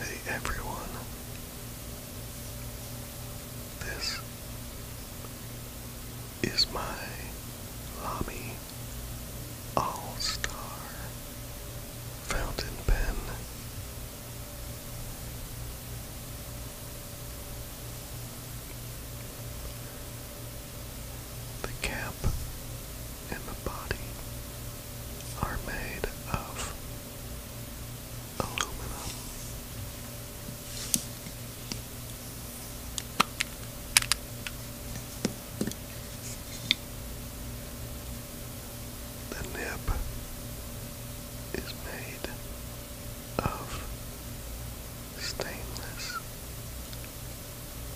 Hey everyone, this is my Lamy All Star Fountain Pen. The cap and the body are made of aluminum. The nib is made of stainless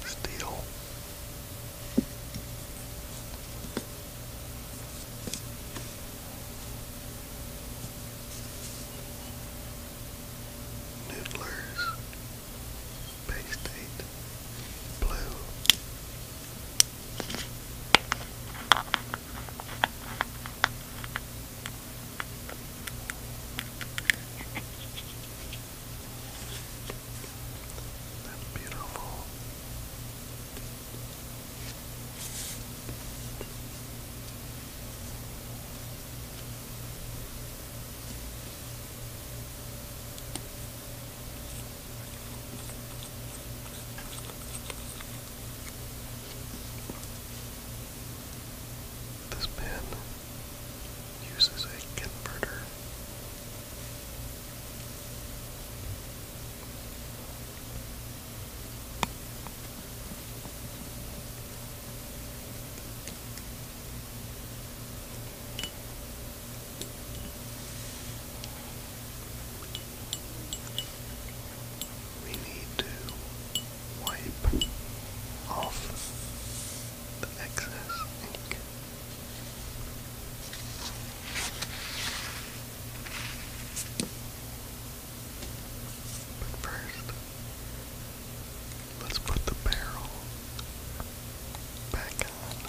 steel. Noodlers, Bay State, Blue. That's beautiful. This pen uses a converter. We need to wipe off the excess ink. But first, let's put the barrel back on.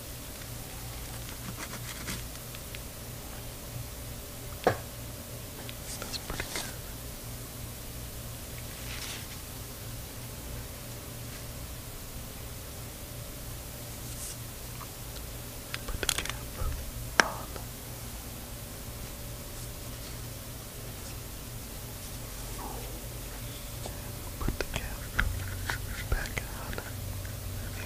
That's pretty good. Put the cap on. Put the cap back on.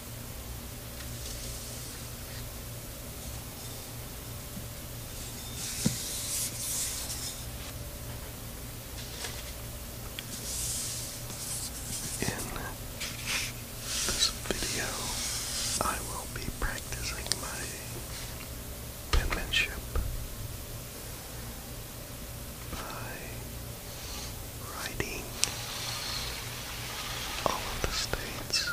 In this video, I will be practicing my penmanship by riding all of the states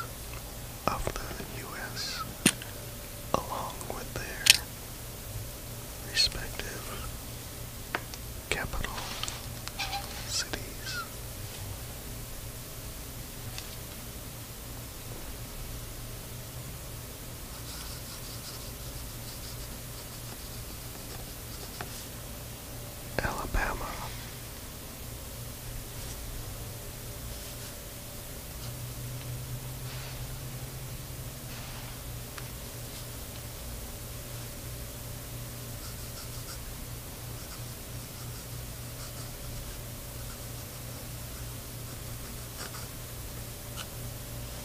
of the U.S. along with their respective capital cities. Alabama.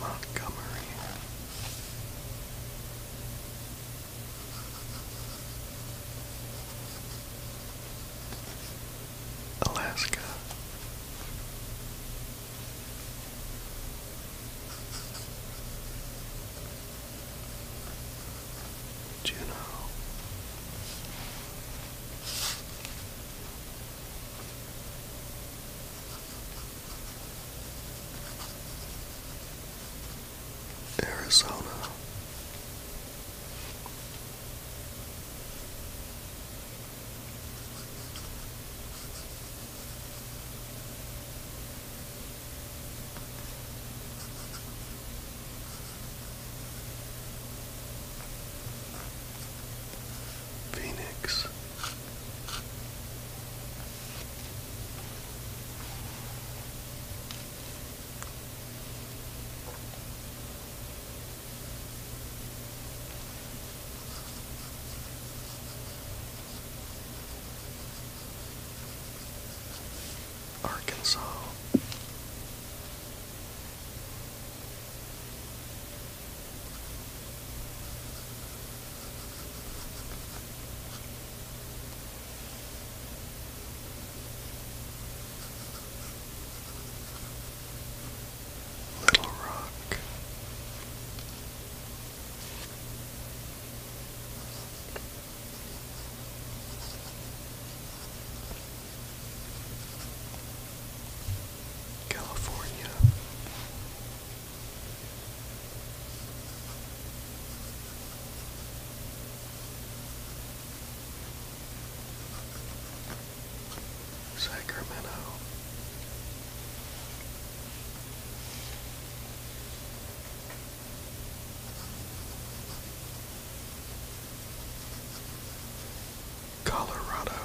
Montgomery Alaska. Juno. Arizona. Phoenix. Arkansas. Little Rock. California. Sacramento. Colorado.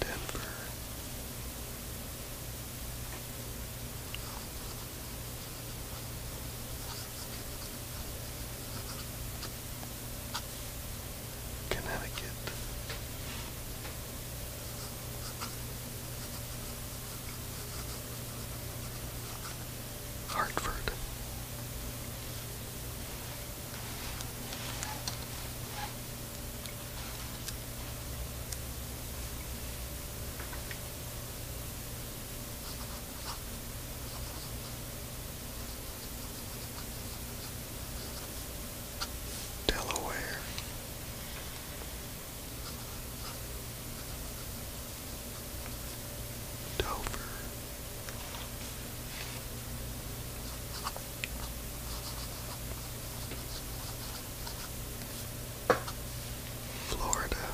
Denver. Connecticut. Hartford Delaware. Dover Florida.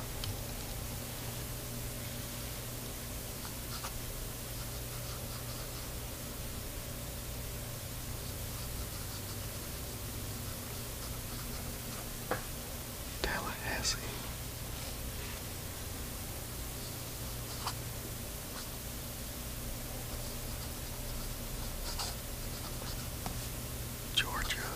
Tallahassee. Georgia.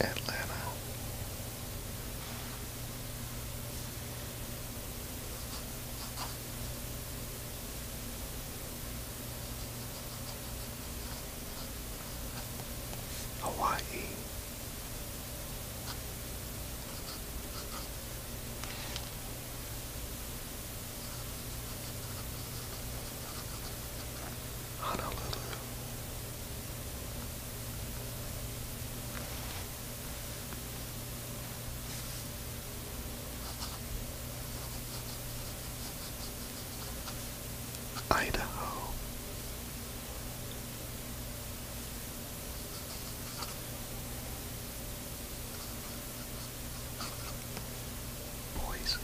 Atlanta. Hawaii. Honolulu. Idaho. Boise.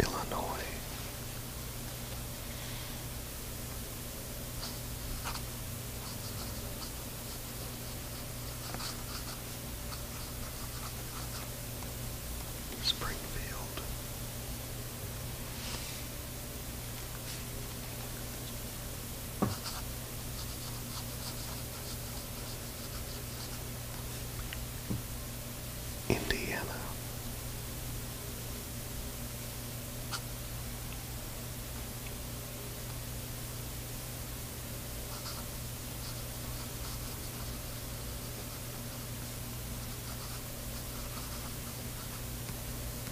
Illinois Springfield. Indiana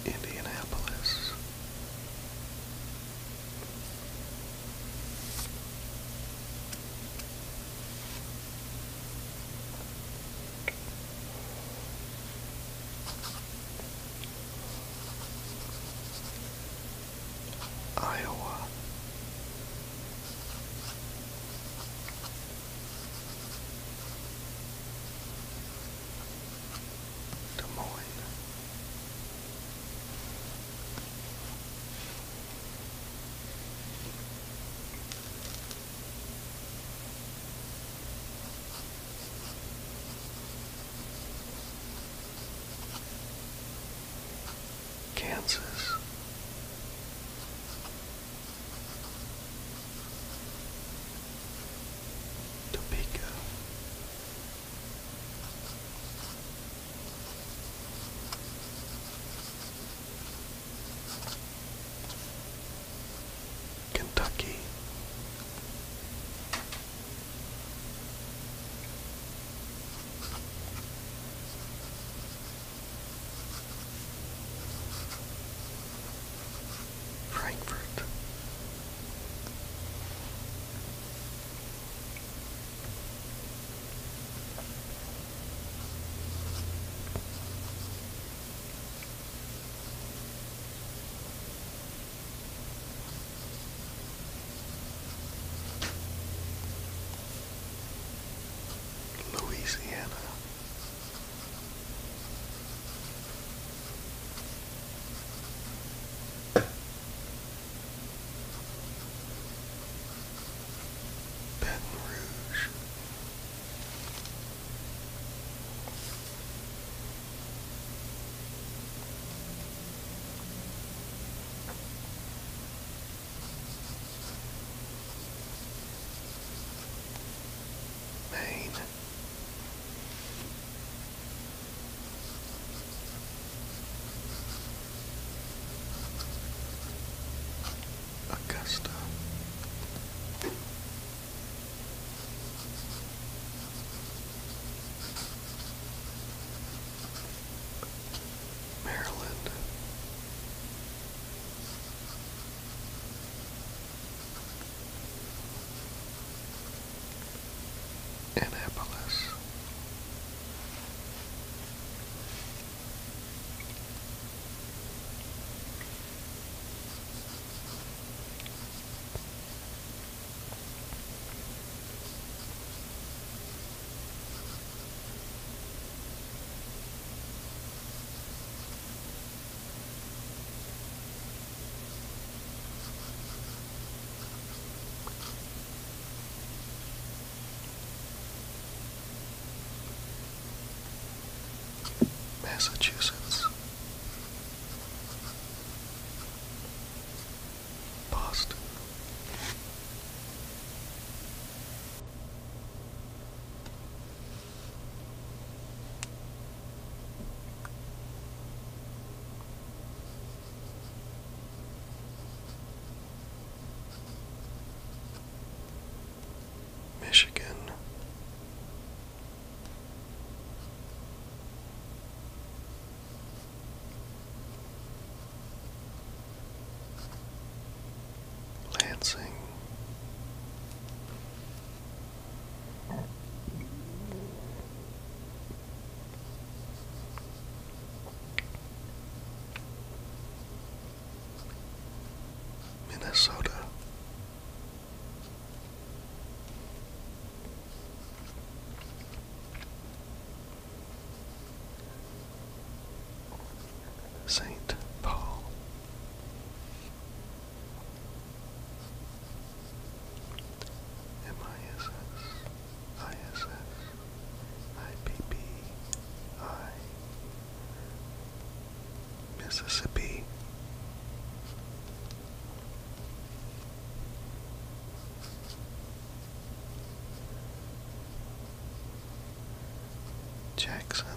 Indianapolis. Iowa. Des Moines. Kansas. Topeka. Kentucky. Frankfurt. Louisiana. Baton Rouge, Maine. Augusta Maryland. Annapolis. Massachusetts Boston. Michigan, Lansing. Minnesota Saint Paul. M I S S I S S I P P I Mississippi Jackson.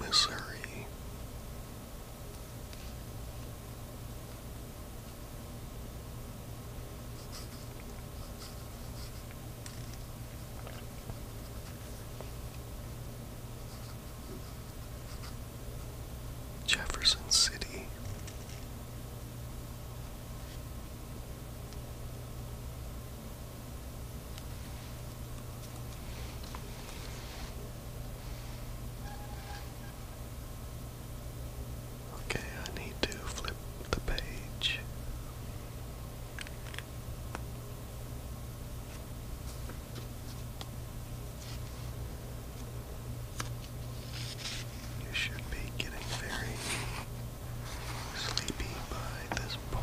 Missouri. Jefferson City. Okay, I need to flip the page. You should be getting very sleepy by this point.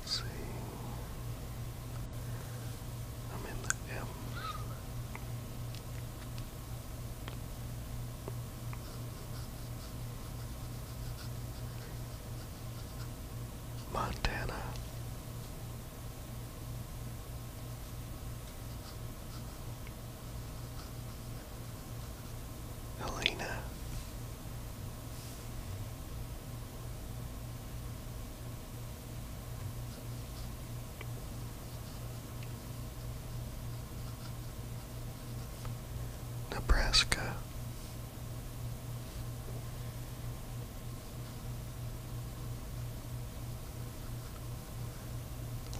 Let's see. I'm in the M's. Montana. Helena. Nebraska.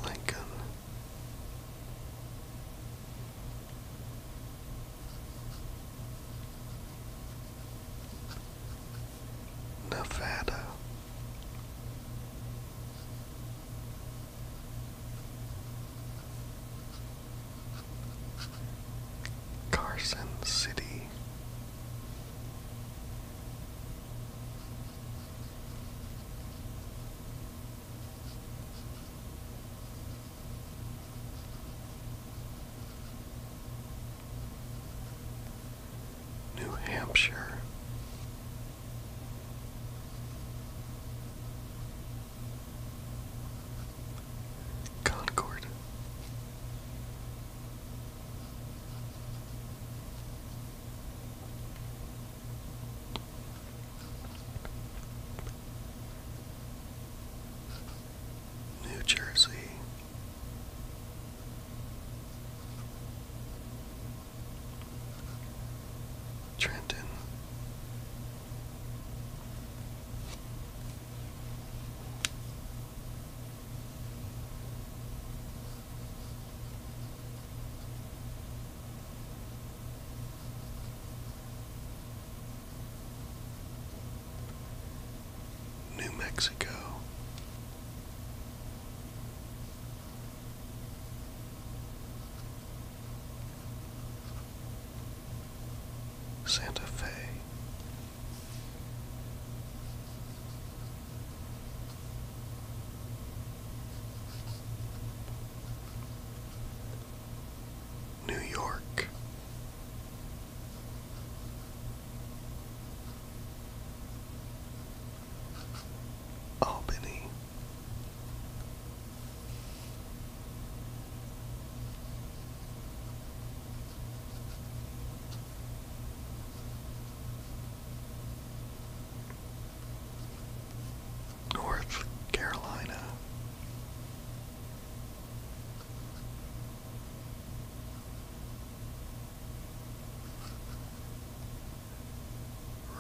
Lincoln Nevada. Carson City, New Hampshire. Concord. New Jersey. Trenton. New Mexico. Santa Fe, New York. Albany. North Carolina.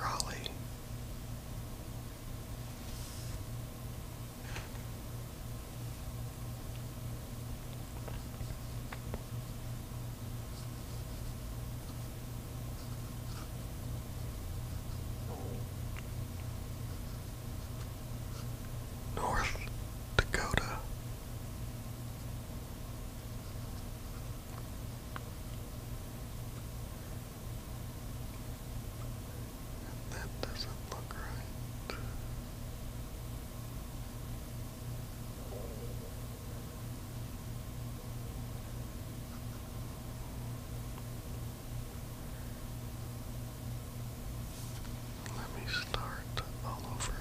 Raleigh. North Dakota. that doesn't look right. Let me start all over.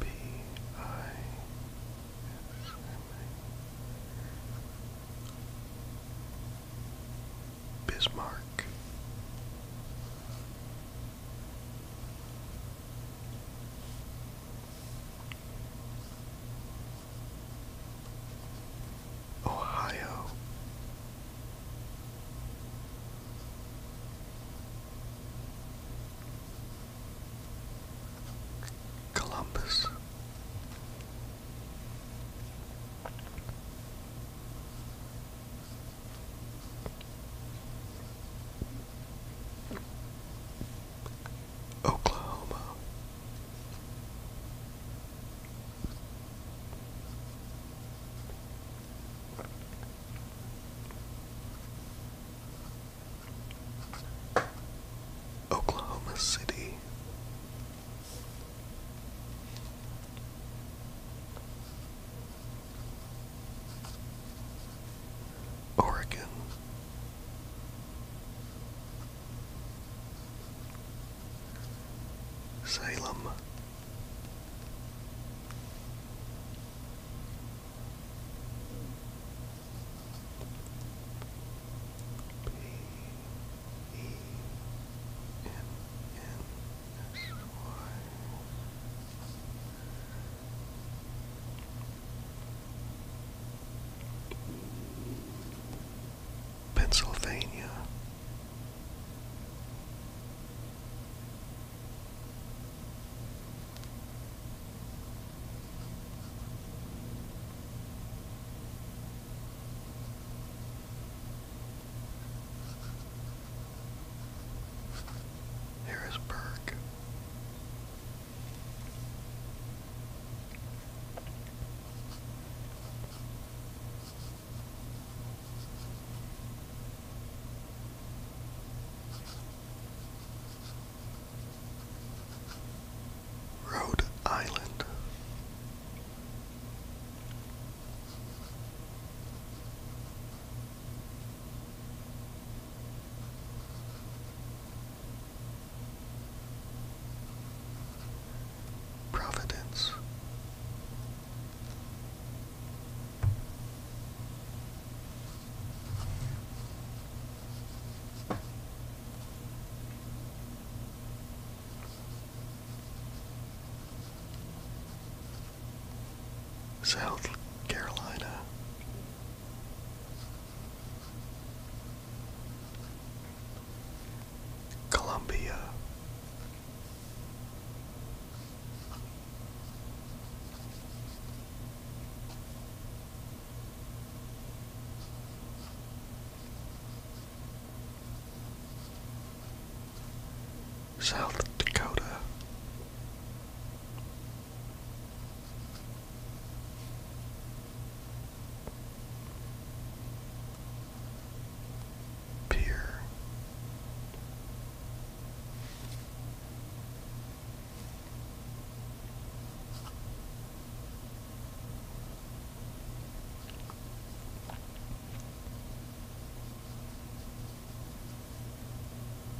B I S M A Bismarck. Ohio. Columbus. Oklahoma. Oklahoma City. Oregon, Salem. Pennsylvania. Harrisburg, Rhode Island. Providence. South Carolina, Colombia. South Dakota, Pier.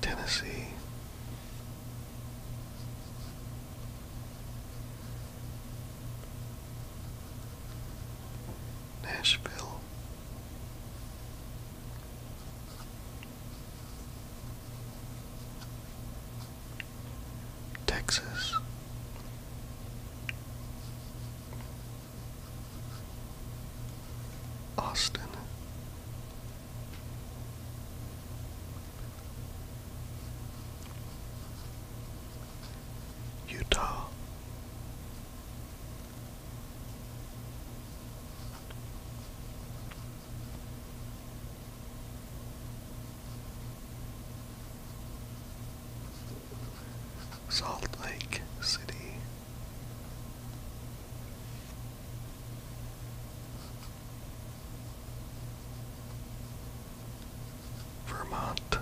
Tennessee Nashville. Texas. Austin, Utah. Salt Lake City. Vermont.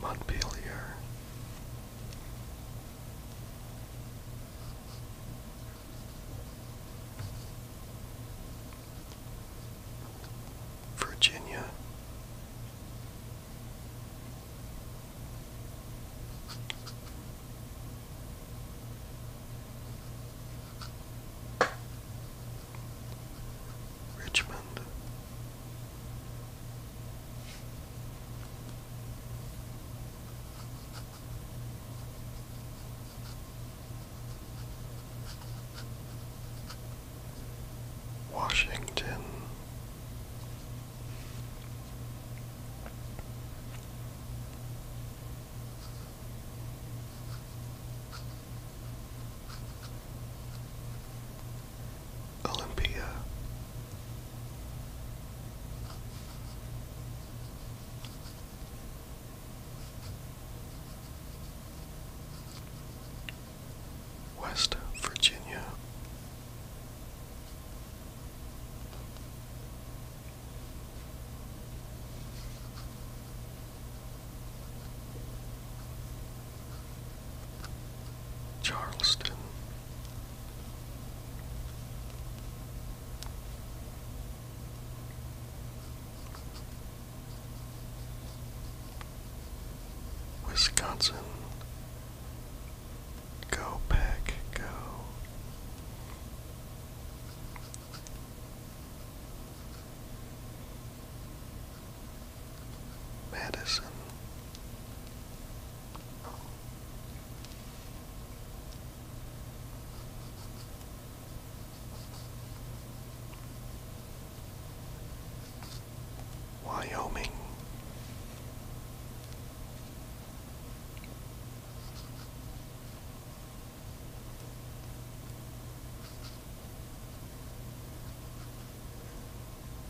Montpelier, Virginia. Richmond. Washington. Olympia, West Virginia. Charleston, Wisconsin. Go pack, go. Madison. Wyoming.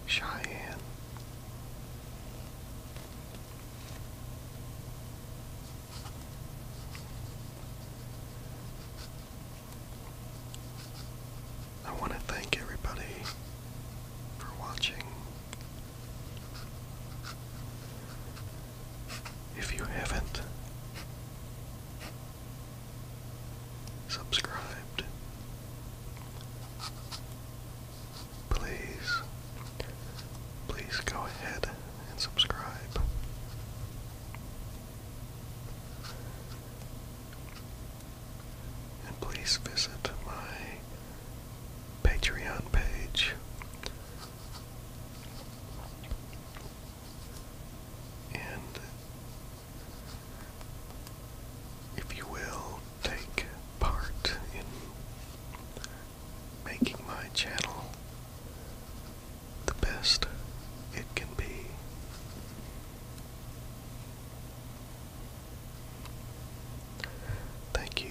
Cheyenne I want to thank everybody for watching. If you haven't subscribed, please, please go ahead and subscribe. And please visit my Patreon page. And if you will take part in making my channel the best it can be. Thank you.